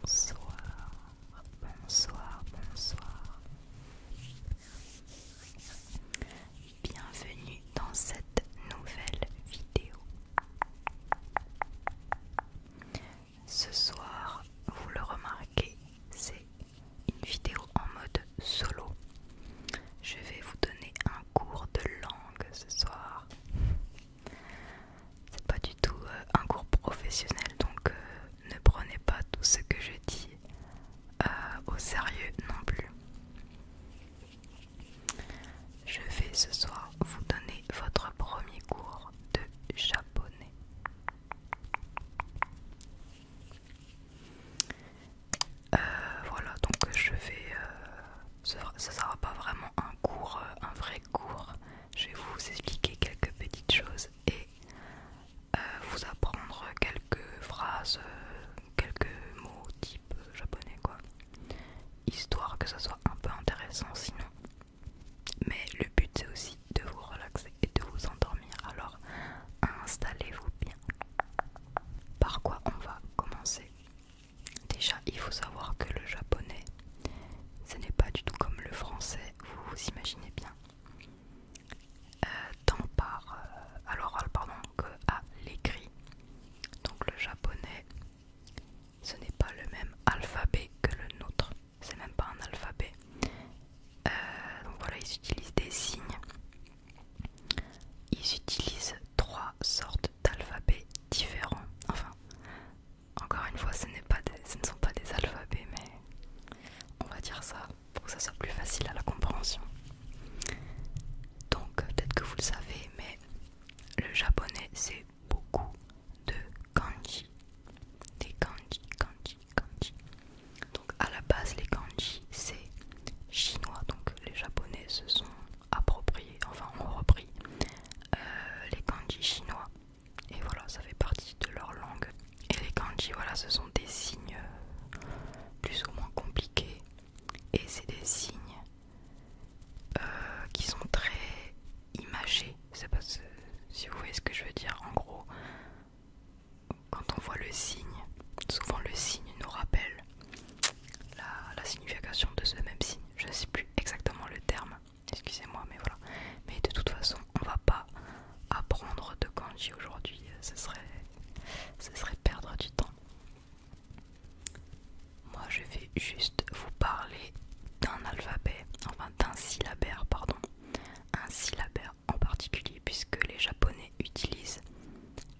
Bonsoir, bonsoir, bonsoir. Bienvenue dans cette nouvelle vidéo. Ce soir, vous le remarquez, c'est une vidéo en mode solo. Je vais vous donner un cours de langue ce soir. C'est pas du tout euh, un cours professionnel, donc euh, ne prenez pas tout ce que je dis euh, au sérieux non plus. Je vais ce soir vous donner votre premier cours de japonais. Euh, voilà, donc je vais. Euh, ce sera pas vraiment un cours, euh, un vrai cours. Je vais vous expliquer quelques petites choses et vous apprendre quelques phrases, quelques mots type japonais, quoi. Histoire que ça soit un peu intéressant sinon. Mais le but c'est aussi de vous relaxer et de vous endormir. Alors installez-vous bien. Par quoi on va commencer Déjà, il faut savoir que le japonais, ce n'est pas du tout comme le français, vous vous imaginez bien. Euh, tant par euh, à l'oral pardon que à l'écrit. Donc le japonais, ce n'est pas le même alphabet que le nôtre. C'est même pas un alphabet. Euh, donc voilà, ils utilisent des signes ils utilisent trois sortes d'alphabets différents. Enfin, encore une fois, ce, ce ne sont pas des alphabets, mais on va dire ça pour que ça soit plus facile à la compréhension. Donc, peut-être que vous le savez, mais le japonais, c'est beaucoup de kanji. Des kanji, kanji, kanji. Donc, à la base, les kanji, c'est chinois. Donc, les japonais, ce sont approprié, enfin on repris euh, les kanji chinois. Et voilà, ça fait partie de leur langue. Et les kanji, voilà, ce sont des signes euh, plus ou moins compliqués. Et c'est des signes euh, qui sont très imagés. C'est pas si vous voyez ce que je veux dire. En gros, quand on voit le signe, souvent le signe nous rappelle la, signification de ce même signe. Je ne sais plus exactement le terme, excusez-moi, mais voilà. Mais de toute façon, on va pas apprendre de kanji aujourd'hui, ce serait, ce serait perdre du temps. Moi, je vais juste vous parler d'un alphabet, enfin d'un syllabaire, pardon, un syllabaire en particulier, puisque les Japonais utilise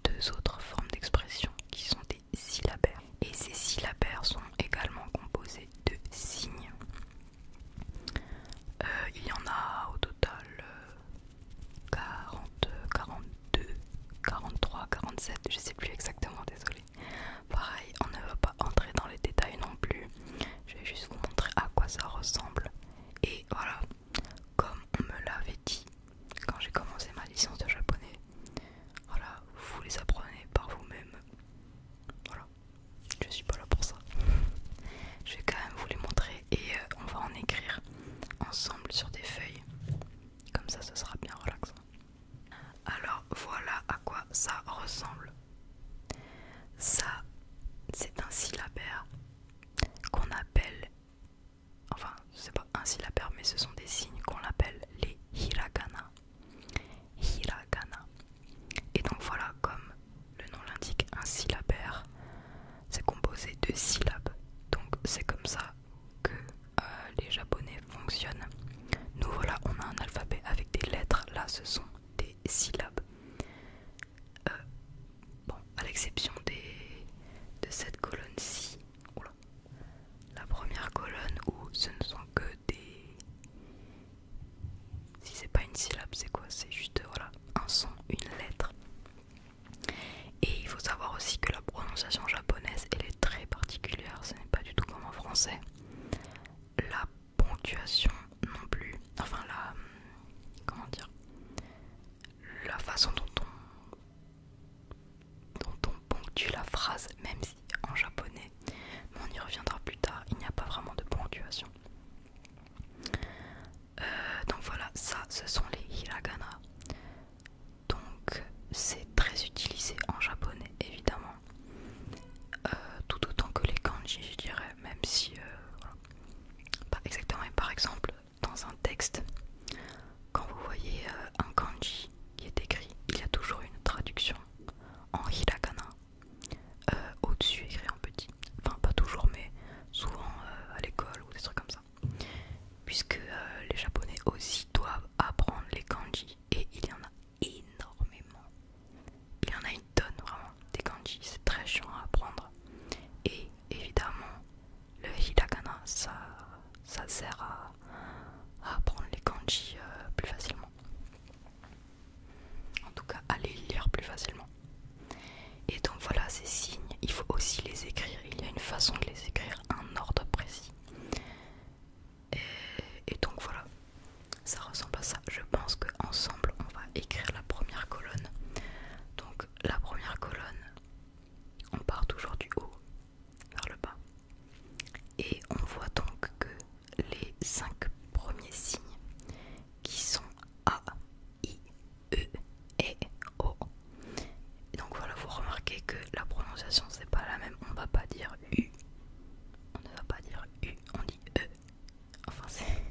deux autres formes d'expression qui sont des syllabaires. Et ces syllabaires sont également composés de signes. Euh, il y en a au total 40, 42, 43, 47, je sais plus exactement, désolé. Pareil, on ne va pas entrer dans les détails non plus. Je vais juste vous montrer à quoi ça ressemble. Et voilà, comme on me l'avait dit quand j'ai commencé ma licence de japonais, voilà, vous les apprenez par vous-même. Voilà, je suis pas là pour ça. je vais quand même vous les montrer et euh, on va en écrire ensemble sur des feuilles. Comme ça, ce sera bien relaxant. Alors voilà à quoi ça ressemble. Ça, c'est un syllabaire qu'on appelle enfin c'est pas un syllabaire mais ce sont des signes qu'on appelle les hiragana. Hiragana. Et donc voilà, comme le nom l'indique, un syllabaire, c'est composé de syllabes. Donc c'est comme ça que euh, les japonais fonctionnent. Nous voilà, on a un alphabet avec des lettres, là ce sont des syllabes. Euh, Bon, à l'exception des de cette colonne-ci, la première colonne où ce ne sont que des... Si c'est pas une syllabe, c'est quoi C'est juste voilà, un son, une lettre. Et il faut savoir aussi que la prononciation japonaise, elle est très particulière, ce n'est pas du tout comme en français. La ponctuation non plus, enfin la... comment dire La façon dont on dont on ponctue la phrase, même si en japonais, mais on y reviendra plus tard, il n'y a pas vraiment de ponctuation. Euh, donc voilà, ça ce sont les hiragana. Donc c'est très utilisé en japonais évidemment. Euh, tout autant que les kanji je dirais, même si... Euh, pas exactement, par exemple dans un texte, quand vous voyez euh, un kanji qui est écrit, il y a toujours une traduction en hiragana euh, au-dessus écrit en petit. Enfin, pas toujours, mais souvent euh, à l'école ou des trucs comme ça. Puisque les japonais aussi doivent apprendre les kanji et il y en a énormément. Il y en a une tonne vraiment des kanji, c'est très chiant à apprendre. Et évidemment, le hiragana, ça, sert à, apprendre les kanji euh, plus facilement. En tout cas, à les lire plus facilement. Et donc voilà, ces signes, il faut aussi les écrire. Il y a une façon de les écrire, un ordre précis. Et, et donc voilà, ça ressemble à ça. Je pense qu'ensemble, on va écrire la première colonne. Donc la première colonne, on part toujours du haut vers le bas. Et on voit donc que les cinq premiers signes qui sont A, I, E, E, O. donc voilà, vous remarquez que la prononciation c'est pas la même. On va pas dire U, on ne va pas dire U, on dit E. Enfin, c'est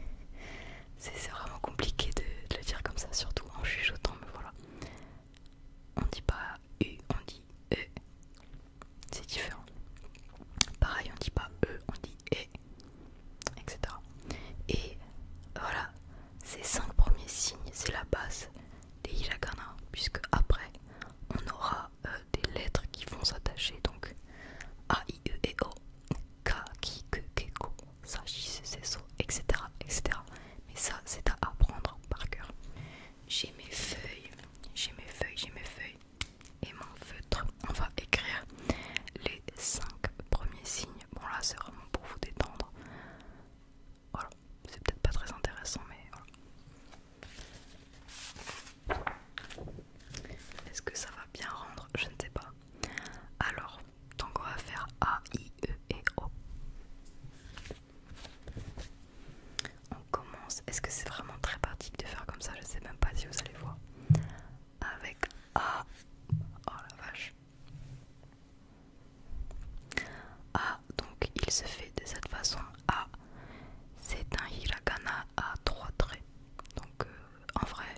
c'est vraiment compliqué de, le dire comme ça, surtout en chuchotant, mais voilà. On dit pas U, on dit E. C'est différent. Pareil, on dit pas E, on dit E, etc. Et voilà, ces cinq premiers signes, c'est la base des hiragana, puisque après, on aura des lettres qui vont s'attacher, donc A, I, E, O, Ka, Ki, Ke, Ke, Ko sachis ses etc., etc. Mais ça, c'est à apprendre par cœur. J'ai mes feuilles, j'ai mes feuilles, j'ai mes feuilles et mon feutre. On va écrire les 5 premiers signes. Bon, là, c'est vraiment pour vous détendre. Voilà, c'est peut-être pas très intéressant, mais voilà. Est-ce que ça va bien rendre Je ne sais pas. Alors, donc on va faire A, I, E et O. On commence. Est-ce que c'est vraiment très pratique de faire comme ça Je sais même pas si vous allez voir. Avec A. Oh la vache. A, donc il se fait de cette façon. A, c'est un hiragana à trois traits. Donc euh, en vrai,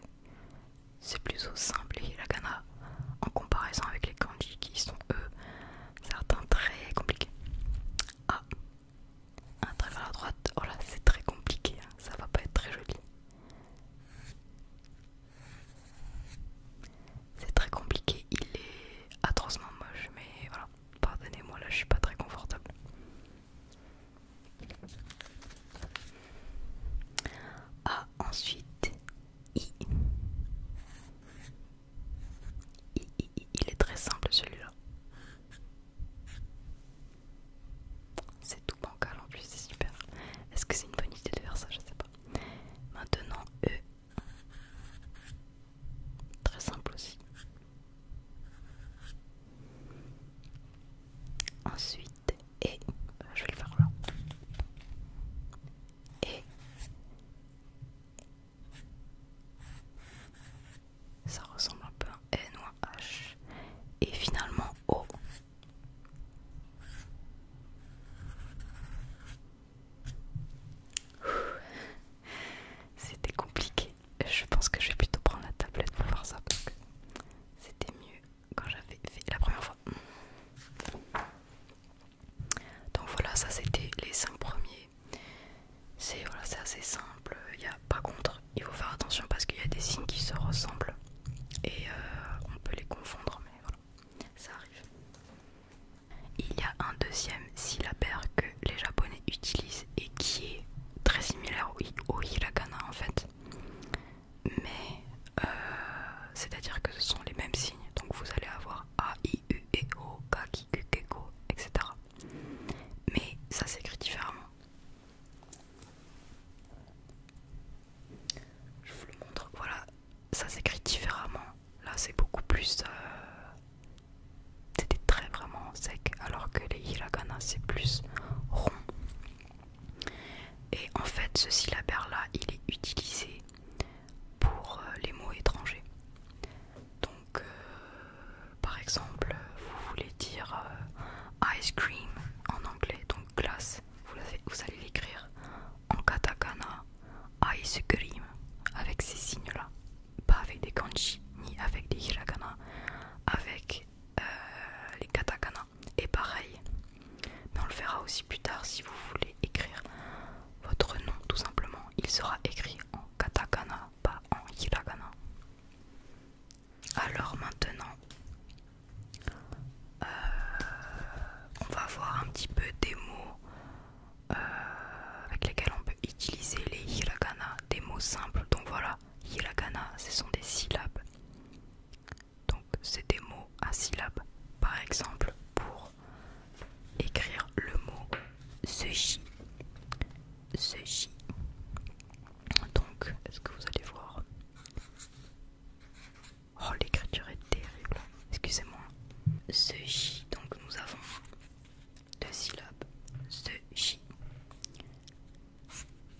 c'est plutôt simple et la hiragana en comparaison avec les candies qui sont eux certains très compliqués. Ah, un travers vers la droite, oh là c'est très compliqué, hein, ça va pas être très joli. C'est très compliqué, il est atrocement moche, mais voilà, pardonnez-moi là je suis pas très confortable. Ah, ensuite il est très simple celui-là. C'est tout bancal en plus, c'est super. Est-ce que c'est une bonne idée de faire ça Je sais pas. Maintenant, E. Très simple aussi. Ensuite, et je vais le faire là et ça ressemble un peu à N ou à H et finalement O c'était compliqué je pense que je vais plutôt prendre la tablette pour voir ça parce que c'était mieux quand j'avais fait la première fois. Donc voilà, ça c'était les 5 premiers. C'est assez simple. Il y a, par contre, il faut faire attention parce qu'il y a des signes qui se ressemblent et euh, on peut les confondre, mais voilà, ça arrive. Il y a un deuxième syllabaire que les Japonais utilisent et qui est très similaire au hiragana en fait mais euh, c'est-à-dire que ce sont les mêmes signes, donc vous allez avoir A, I, U, E, O, K, K, Q, K, K, etc. Mais ça s'écrit différemment. Je vous le montre, voilà, ça s'écrit différemment. Là, c'est beaucoup plus. Euh, c'était très vraiment sec, alors que les hiragana, c'est plus rond. Et en fait, ce syllabaire-là, il est utilisé pour euh, les mots étrangers. Donc, euh, par exemple, vous voulez dire euh, ice cream en anglais, donc glace, vous, allez l'écrire en katakana, ice cream, avec ces signes-là, pas avec des kanji ni avec des hiragana, avec les katakana. Et pareil. Mais on le fera aussi plus tard si vous voulez écrire votre nom tout simplement. Il sera écrit en katakana, pas en hiragana. Alors maintenant, euh, on va voir un petit peu des mots euh, avec lesquels on peut utiliser les hiragana, des mots simples. Donc voilà, hiragana, ce sont des syllabes. Donc c'est des mots à syllabes. Par exemple, pour écrire le mot sushi. Sushi. Donc, est-ce que vous allez voir Oh, l'écriture est terrible. Excusez-moi. Sushi. Donc nous avons deux syllabes. Sushi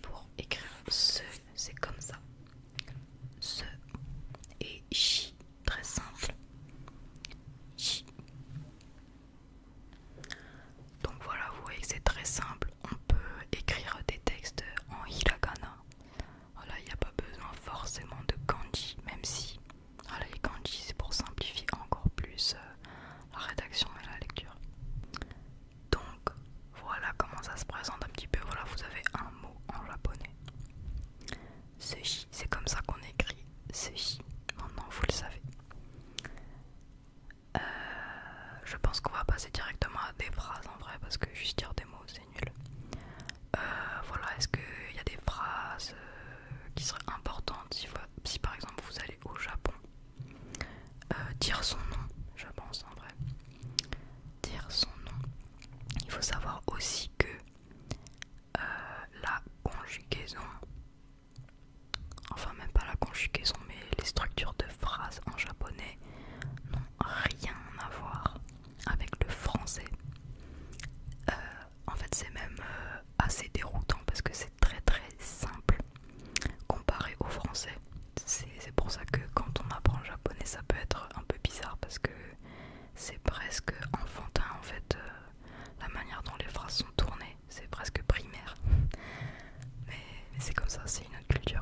pour écrire ce, c'est comme ça. Ce et chi, très simple. Donc voilà, vous voyez c'est très simple. On peut écrire des textes en hiragana. Voilà, il n'y a pas besoin forcément de kanji, même si les kanji c'est pour simplifier encore plus euh, la rédaction et la lecture. Donc voilà comment ça se présente un petit peu. Voilà, vous avez un mot en japonais. Sushi, c'est comme ça qu'on écrit sushi. Maintenant, vous le savez. Euh, je pense qu'on va passer directement à des phrases en vrai parce que juste dire des mots c'est nul. Euh, voilà, est-ce qu'il y a des phrases euh, qui seraient importantes si, par exemple vous allez au Japon Dire son nom, je pense en vrai dire son nom. Il faut savoir aussi que euh, la conjugaison, enfin même pas la conjugaison, mais les structures de phrases en japonais n'ont rien à voir avec le français. Euh, en fait, c'est même euh, assez déroutant parce que c'est très très simple comparé au français c'est pour ça que quand on apprend le japonais, ça peut être un peu bizarre parce que c'est presque enfantin en fait. Euh, la manière dont les phrases sont tournées, c'est presque primaire. Mais, c'est comme ça, c'est une autre culture.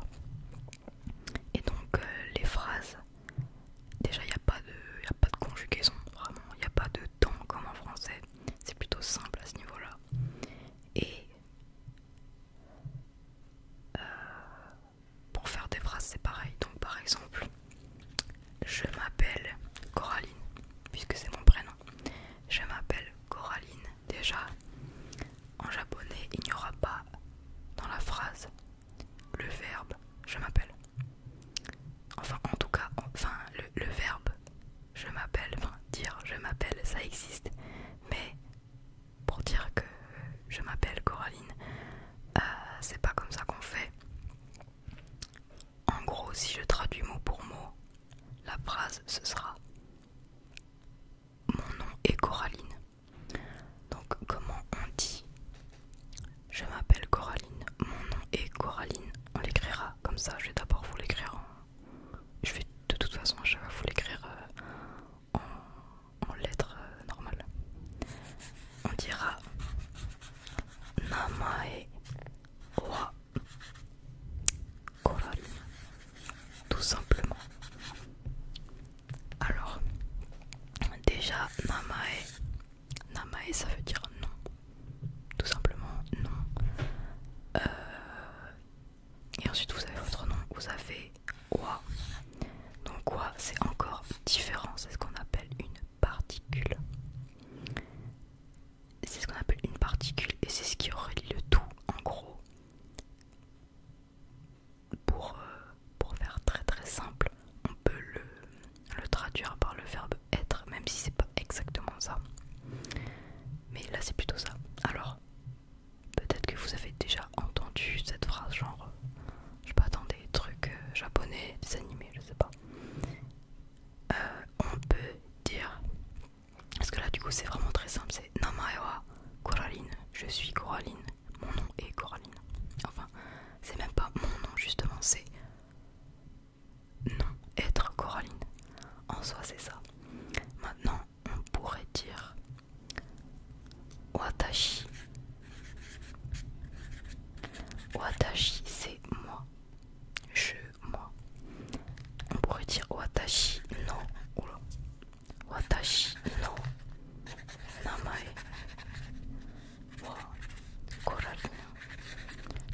Et donc, euh, les phrases, déjà il n'y a, pas de, y a pas de conjugaison, vraiment, il n'y a pas de temps comme en français. C'est plutôt simple à ce niveau-là. Euh, pour faire des phrases, c'est pareil. Donc, par exemple, je m'appelle Coraline, puisque c'est mon prénom. Je m'appelle Coraline. Déjà, en japonais, il n'y aura pas dans la phrase le verbe je m'appelle. Enfin, en tout cas, enfin, le, verbe je m'appelle, enfin, dire je m'appelle, ça existe, mais pour dire que je m'appelle Coraline. Euh, c'est pas comme ça qu'on fait. En gros, si je traduis mot pour mot, la phrase ce sera Mon nom est Coraline. Donc, comment on dit Je m'appelle Coraline, mon nom est Coraline. On l'écrira comme ça. Je vais d'abord vous l'écrire en. Je vais de toute façon, je vais vous l'écrire euh, en, lettres euh, normales. On dira Namae wa Koral. Tout simplement. Alors, déjà, Namae. Namae, ça veut dire non. Tout simplement, non. Euh, et ensuite vous avez votre nom, vous avez quoi Donc quoi c'est encore différent, c'est ce qu'on appelle une particule. C'est ce qu'on appelle une particule et c'est ce qui relie le tout en gros. Pour, euh, pour faire très très simple, on peut le, le traduire par le verbe être, même si c'est pas exactement ça. Mais là c'est plutôt ça. Alors, Peut-être que vous avez déjà entendu cette phrase, genre, euh, je sais pas, dans des trucs euh, japonais, des animés, je sais pas. Euh, on peut dire, parce que là du coup c'est vraiment très simple, c'est Namaewa Coraline, je suis Coraline, mon nom est Coraline. Enfin, c'est même pas mon nom justement, c'est non, être Coraline. En soi c'est ça. Maintenant, on pourrait dire Watashi. Watashi, c'est moi. Je, moi. On pourrait dire Watashi non. Watashi non. Namae. Wa.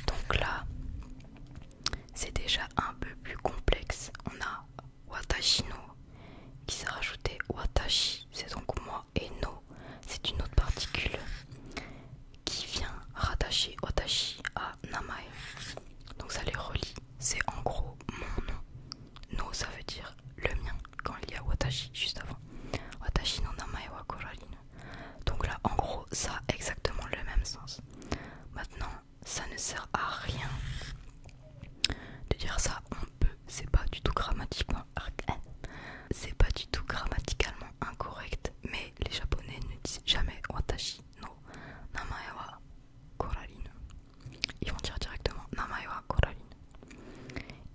Donc là, c'est déjà un peu plus complexe. On a Watashi no, qui s'est rajouté Watashi, c'est donc moi, et no, c'est une autre particule qui vient rattacher Watashi à Namae. Donc ça les relie, c'est en gros mon nom. No, ça veut dire le mien, quand il y a Watashi juste avant. Watashi no Namae wa Korarino. Donc là, en gros, ça a exactement le même sens. Maintenant, ça ne sert à rien de dire ça on peut c'est pas du tout grammatiquement hein, c'est pas du tout grammaticalement incorrect mais les japonais ne disent jamais watashi no namae wa ils vont dire directement namae wa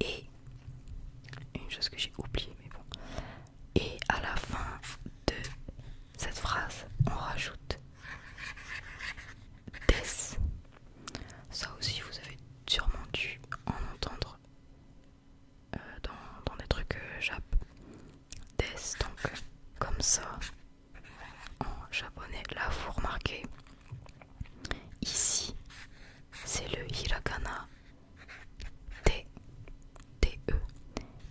et une chose que j'ai oublié mais bon et à la fin de cette phrase on rajoute DES, Ça aussi, vous avez sûrement dû en entendre euh, dans, des trucs euh, jap. donc comme ça en japonais. Là, vous remarquez, ici, c'est le hiragana T, T-E.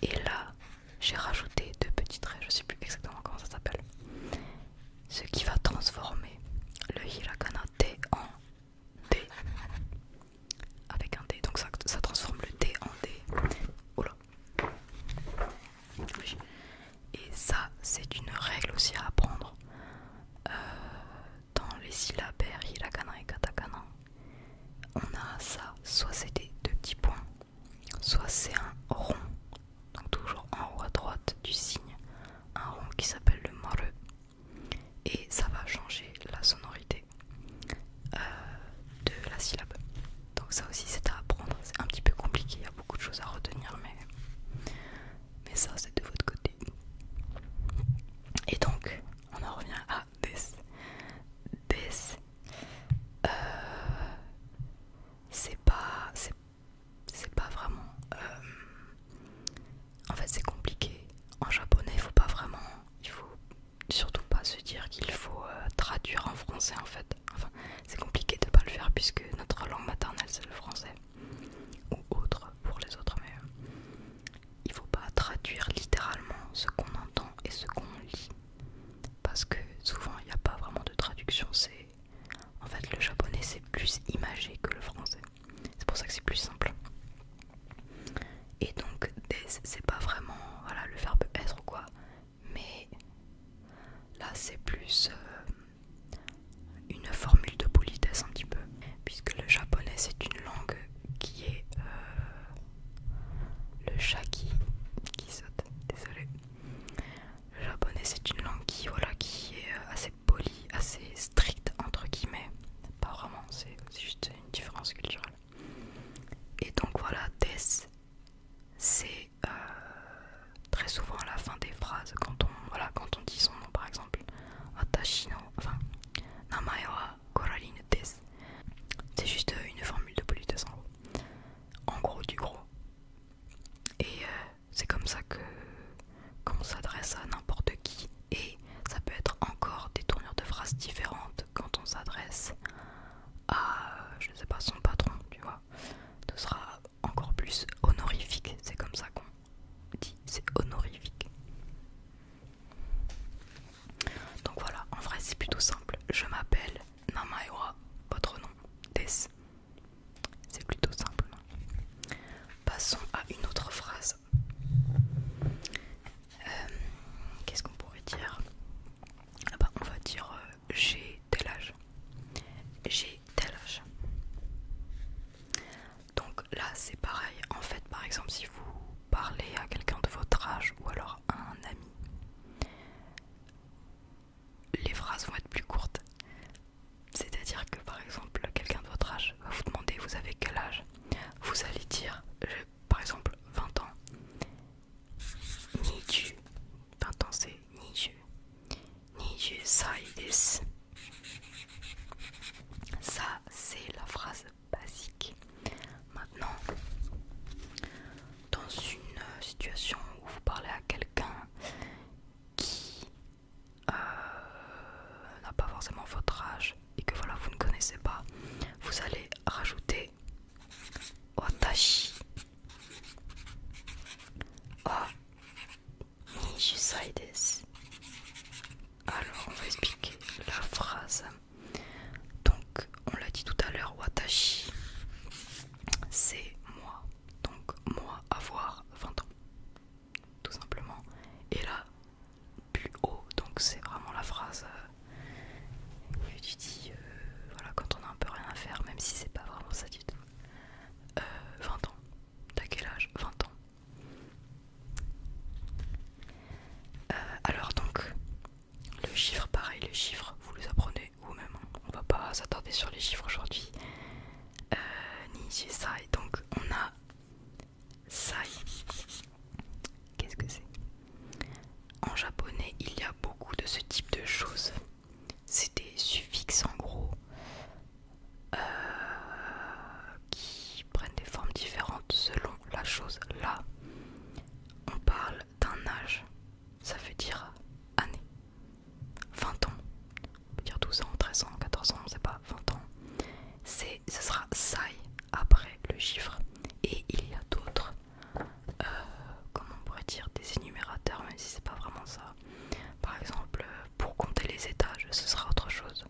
Et là, j'ai rajouté deux petits traits, je sais plus exactement comment ça s'appelle. Ce qui va transformer le hiragana T en D. Avec un D, donc ça, transforme le T en D. Et ça, c'est une règle aussi à apprendre euh, dans les syllabaires hiragana et katakana. On a ça, soit c'est des deux petits points, soit c'est un rond, donc toujours en haut à droite du signe, un rond qui s'appelle le moru et ça va changer la sonorité euh, de la syllabe. Donc ça aussi c'est à apprendre, c'est un petit peu compliqué, il y a beaucoup de choses à retenir, mais, mais ça c'est de votre côté. Et donc on en revient à des. des c'est pas c'est pas vraiment euh, en fait c'est compliqué en japonais il faut pas vraiment il faut surtout pas se dire qu'il faut euh, traduire en français en fait enfin c'est compliqué de pas le faire puisque notre langue maternelle c'est le français ou autre pour les autres mais euh, il faut pas traduire littéralement ce qu'on entend et ce qu'on lit parce que souvent il n'y a pas vraiment de traduction. C'est en fait le japonais c'est plus imagé que le français. C'est pour ça que c'est plus simple. Et donc c'est pas vraiment voilà le verbe être ou quoi, mais là c'est plus euh, une formule de politesse un petit peu, puisque le japonais c'est une langue qui est euh, le chat qui saute, désolé. Le japonais c'est une langue qui, voilà, qui est euh, assez polie, assez stricte entre guillemets. Pas vraiment, c'est juste une différence culturelle. Et donc voilà, des, c'est euh, très souvent à la fin des phrases quand on, voilà, quand on dit son nom par exemple. Atashino, enfin, Namae wa Coraline des. C'est juste euh, une formule de politesse en gros en gros du gros. Et euh, c'est comme ça que qu'on s'adresse à n'importe qui. Et ça peut être encore des tournures de phrases différentes quand on s'adresse à, euh, je ne sais pas, son patron, tu vois. Ce sera encore plus honorifique. C'est comme ça qu'on dit, c'est honorifique. Donc voilà, en vrai c'est plutôt simple. Je m'appelle Namaewa, votre nom, Tess. C'est plutôt simple. Passons à une autre phrase. Euh, qu'est-ce qu'on pourrait dire ah bah, On va dire euh, j'ai tel âge. J'ai tel âge. Donc là c'est pareil. En fait par exemple si vous parlez à quelqu'un de votre âge ou alors à un ami, les phrases vont être plus courtes. C'est-à-dire que par exemple, quelqu'un de votre âge va vous demander vous avez quel âge Vous allez dire, par exemple, 20 ans. Ni-ju, 20 ans c'est Niju. desu. Ça, c'est la phrase basique. Maintenant, dans une euh, situation où vous parlez à quelqu'un qui euh, n'a pas forcément votre âge et que voilà vous ne connaissez pas, vous allez rajouter Otachi Alors on va expliquer la phrase. Donc, on l'a dit tout à l'heure, Watashi, c'est moi. Donc, moi, avoir 20 ans. Tout simplement. Et là, plus haut. Donc, c'est vraiment la phrase euh, tu dis, euh, voilà, quand on a un peu rien à faire, même si c'est pas vraiment ça du tout. 20 euh, ans. T'as quel âge 20 ans. alors donc, le chiffre, pareil, les chiffres, vous les apprenez vous-même. On va pas s'attarder sur les chiffres aujourd'hui. Euh, ni ça. Sai. Donc on a Sai. Qu'est-ce que c'est En japonais, il y a beaucoup de ce type de choses. C'est des suffixes en gros euh, qui prennent des formes différentes selon la chose. Là, on parle d'un âge ça veut dire année. 20 ans, on peut dire 12 ans, 13 ans, 14 ans, on sait pas, 20 ans. C'est, ce sera ça après le chiffre. Et il y a d'autres, euh, comment on pourrait dire, des énumérateurs, même si c'est pas vraiment ça. Par exemple, pour compter les étages, ce sera autre chose.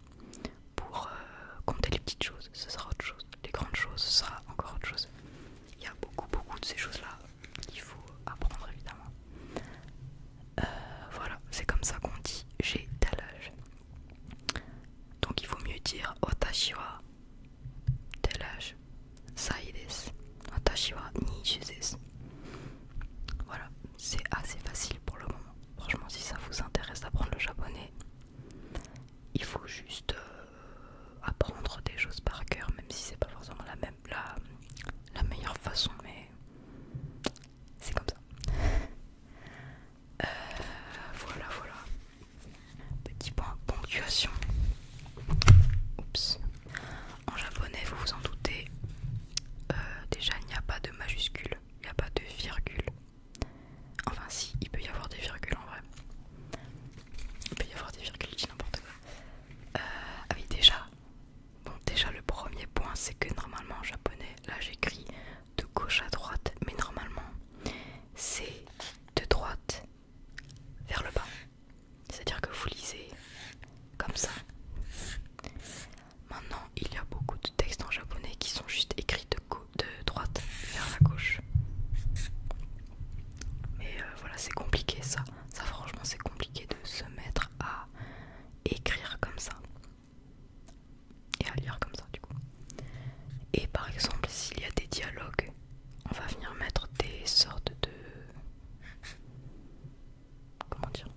Pour euh, compter les petites choses, ce sera autre chose. Les grandes choses, ce sera encore autre chose il y a beaucoup beaucoup de ces choses là qu'il faut apprendre évidemment. Euh, voilà, c'est comme ça qu'on dit j'ai tel âge. Donc il faut mieux dire Watashi tel âge. Sai desu. Voilà, c'est assez facile pour le moment. Franchement, si ça vous intéresse d'apprendre le japonais, il faut juste euh, apprendre des choses par cœur, même si c'est pas forcément la même la, meilleure façon, mais c'est comme ça. Euh, voilà, voilà. Petit point ponctuation. En japonais, vous vous en doutez, euh, déjà il n'y a pas de majuscule, il n'y a pas de virgule. Enfin si, il peut y avoir des virgules en vrai. Il peut y avoir des virgules, n'importe quoi. Euh, ah oui, déjà. Bon, déjà, le premier point, c'est que normalement en japonais, là j'écris de gauche à droite, mais normalement c'est de droite vers le bas. C'est-à-dire que vous lisez comme ça. Maintenant, il y a beaucoup de textes en japonais qui sont juste écrits de gauche de droite vers la gauche. Mais euh, voilà, c'est compliqué ça. Ça franchement c'est compliqué de se mettre à écrire comme ça. Et à lire comme ça du coup. Et par exemple, s'il y a des dialogues, on va venir mettre des sortes de... Comment dire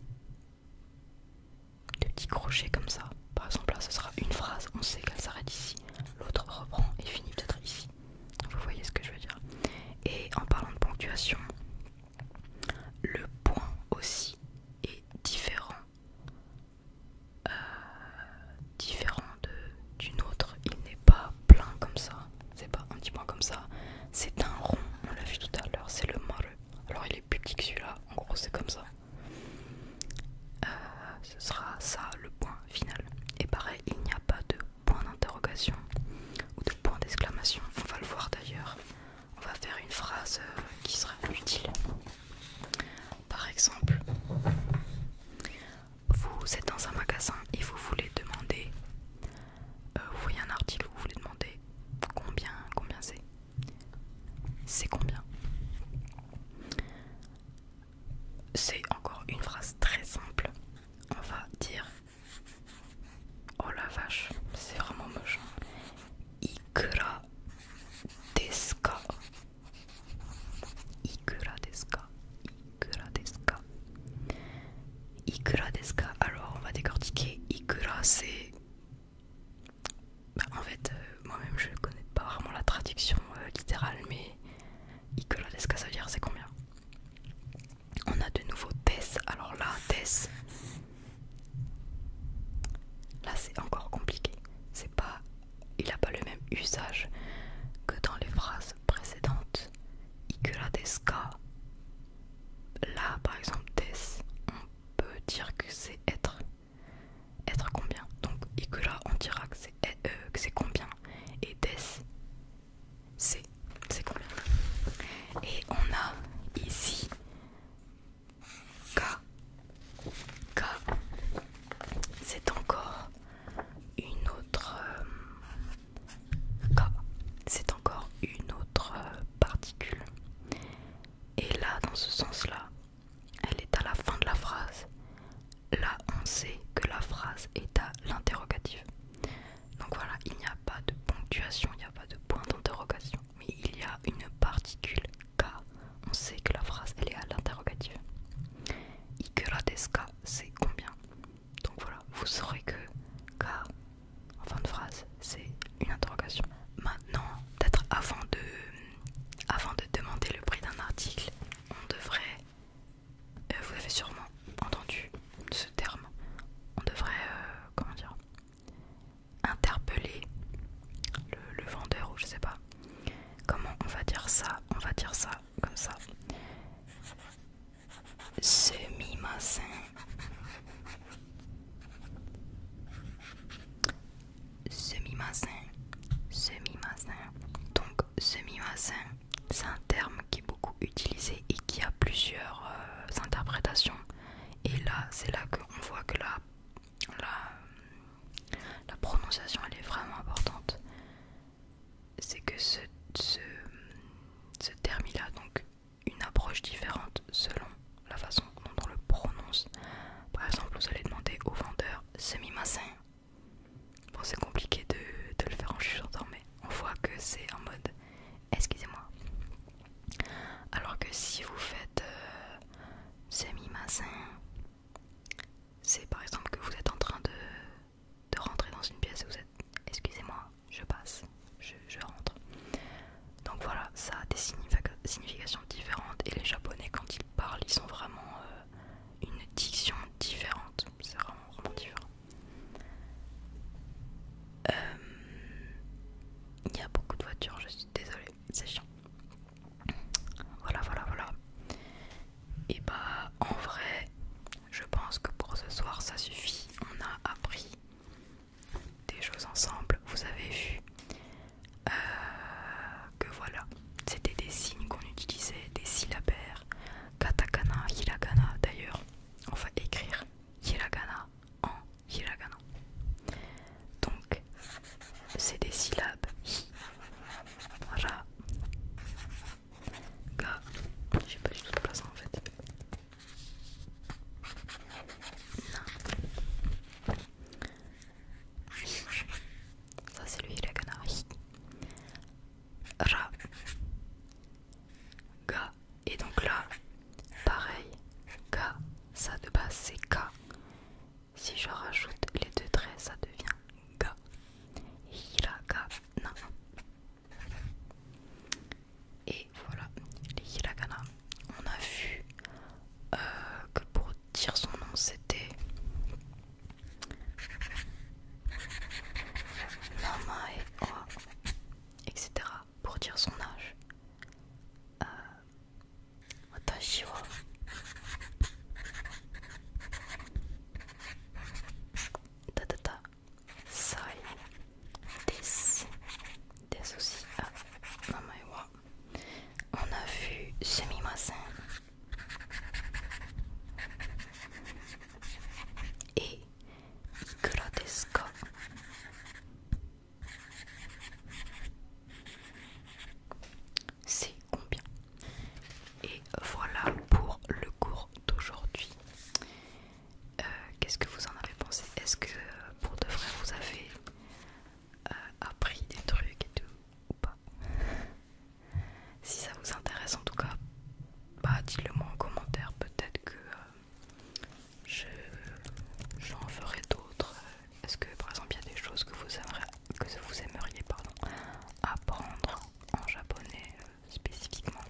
de petits crochets comme ça. Par exemple là, ce sera une phrase, on sait qu'elle s'arrête ici. L'autre reprend et finit peut-être ici. Vous voyez ce que je veux dire. Et en parlant de ponctuation, le point aussi est différent, euh, différent d'une autre. Il n'est pas plein comme ça. C'est pas un petit point comme ça. C'est un rond. On l'a vu tout à l'heure. C'est le maru. Alors il est plus petit que celui-là. En gros, c'est comme ça. Euh, ce sera ça le point final. Et pareil il n'y a pas de point d'interrogation ou de point d'exclamation. On va le voir d'ailleurs. On va faire une phrase euh, qui sera utile. Par exemple, vous êtes dans un magasin et vous voulez demander, euh, vous voyez un article, vous voulez demander combien, combien c'est, c'est combien. C'est encore une phrase très simple. On va dire Oh la vache, c'est vraiment moche. Ikura deska. Ikura deska. Ikura deska. Ikura deska. Alors on va décortiquer. Ikura c'est... en fait, euh, moi-même je ne connais pas vraiment la traduction euh, littérale, mais ça veut dire c'est combien On a de nouveau Tess. Alors là, Tess. Là, c'est encore compliqué. C'est pas. Il n'a pas le même usage que dans les phrases précédentes. Ikuradesca. Là, par exemple, Tess, on peut dire que c'est être être combien Donc là on dira eh, euh, que c'est combien Et Des, c'est combien Et on a ici K. K. C'est encore une autre... Euh, K. C'est encore une autre euh, particule. Et là, dans ce sens-là, elle est à la fin de la phrase. Là, on sait que la phrase est à l'interrogatif. Donc voilà, il n'y a pas de ponctuation, il n'y a pas de point d'interrogation. Mais il y a une particule K. On sait que la phrase, elle est à l'interrogatif. la K, c'est combien Donc voilà, vous saurez que K, en fin de phrase, c'est une interrogation. Maintenant, peut-être avant de demander le prix d'un article, on devrait, euh, vous avez sûrement entendu ce terme, on devrait, euh, comment dire, interpeller le, vendeur ou je sais pas. Comment on va dire ça On va dire ça comme ça. c'est massin semi-massin, semi Donc semi-massin, c'est un terme qui est beaucoup utilisé et qui a plusieurs euh, interprétations. Et là, c'est là qu'on voit que la, la, prononciation, elle est vraiment importante. C'est que ce, terme, là a donc une approche différente selon la façon dont on le prononce. Par exemple, vous allez demander au vendeur semi-massin. Bon, c'est compliqué de, de le faire en chuchotant, mais on voit que c'est en mode excusez-moi. Alors que si vous faites euh, semi masin c'est par exemple que vous êtes en train de, de rentrer dans une pièce et vous êtes excusez-moi, je passe, je, rentre. Donc voilà, ça a des significations différentes et les japonais quand ils parlent, ils sont vraiment. Euh, une diction différente. C'est vraiment, vraiment différent. Euh, il y a beaucoup de voitures, je suis désolée, c'est chiant. Voilà, voilà, voilà. Et bah, en vrai, je pense que pour ce soir, ça suffit. On a appris des choses ensemble, vous avez vu euh, que voilà, c'était des signes qu'on utilisait, des syllabaires, katakana, hiragana d'ailleurs, on va écrire hiragana en hiragana. Donc, c'est des syllabes hi, ra, ga, j'ai pas du tout de place en fait. Ça c'est le hiragana. Ra. Ga. Et donc là, pareil. Ga. Ça de base c'est Ka. Si je rajoute les deux traits, ça devient Ga. Hiragana. Et voilà, les hiragana. On a vu euh, que pour dire son nom, c'était. Mama et etc. pour dire son âge. Euh, Tatata Sai Des Des aussi à ah, Mama et wa on a vu Semi-Massin et Grotesco. C'est combien Et voilà pour le cours d'aujourd'hui. Euh, qu'est-ce que vous en avez pensé Est-ce que pour de vrai vous avez euh, appris des trucs et tout pas. si ça vous intéresse en tout cas, bah dites-le moi en commentaire, peut-être que euh, je j'en ferai d'autres. Est-ce que par exemple il y a des choses que vous aimeriez, que vous aimeriez apprendre en japonais euh, spécifiquement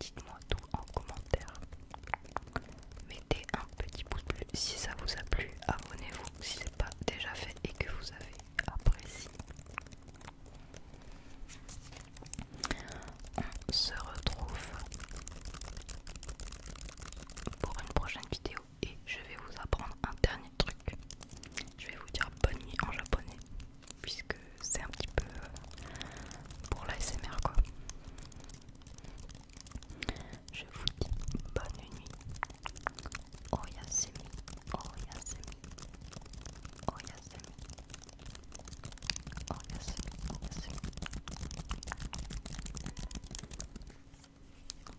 Dites-moi tout en commentaire. Mettez un petit pouce bleu si ça vous a plu abonnez-vous si ce n'est pas déjà fait et que vous avez apprécié. On se retrouve pour une prochaine vidéo et je vais vous apprendre un dernier truc. Je vais vous dire bonne nuit en japonais puisque c'est un petit peu euh, pour l'ASMR quoi. Je vous dis bonne nuit. Oh Yasemi, oh Yasemi, oh Yasemi, oh Yasemi, oh Yasemi.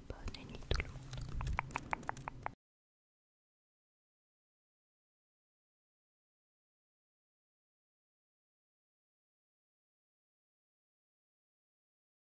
Bonne nuit tout le monde.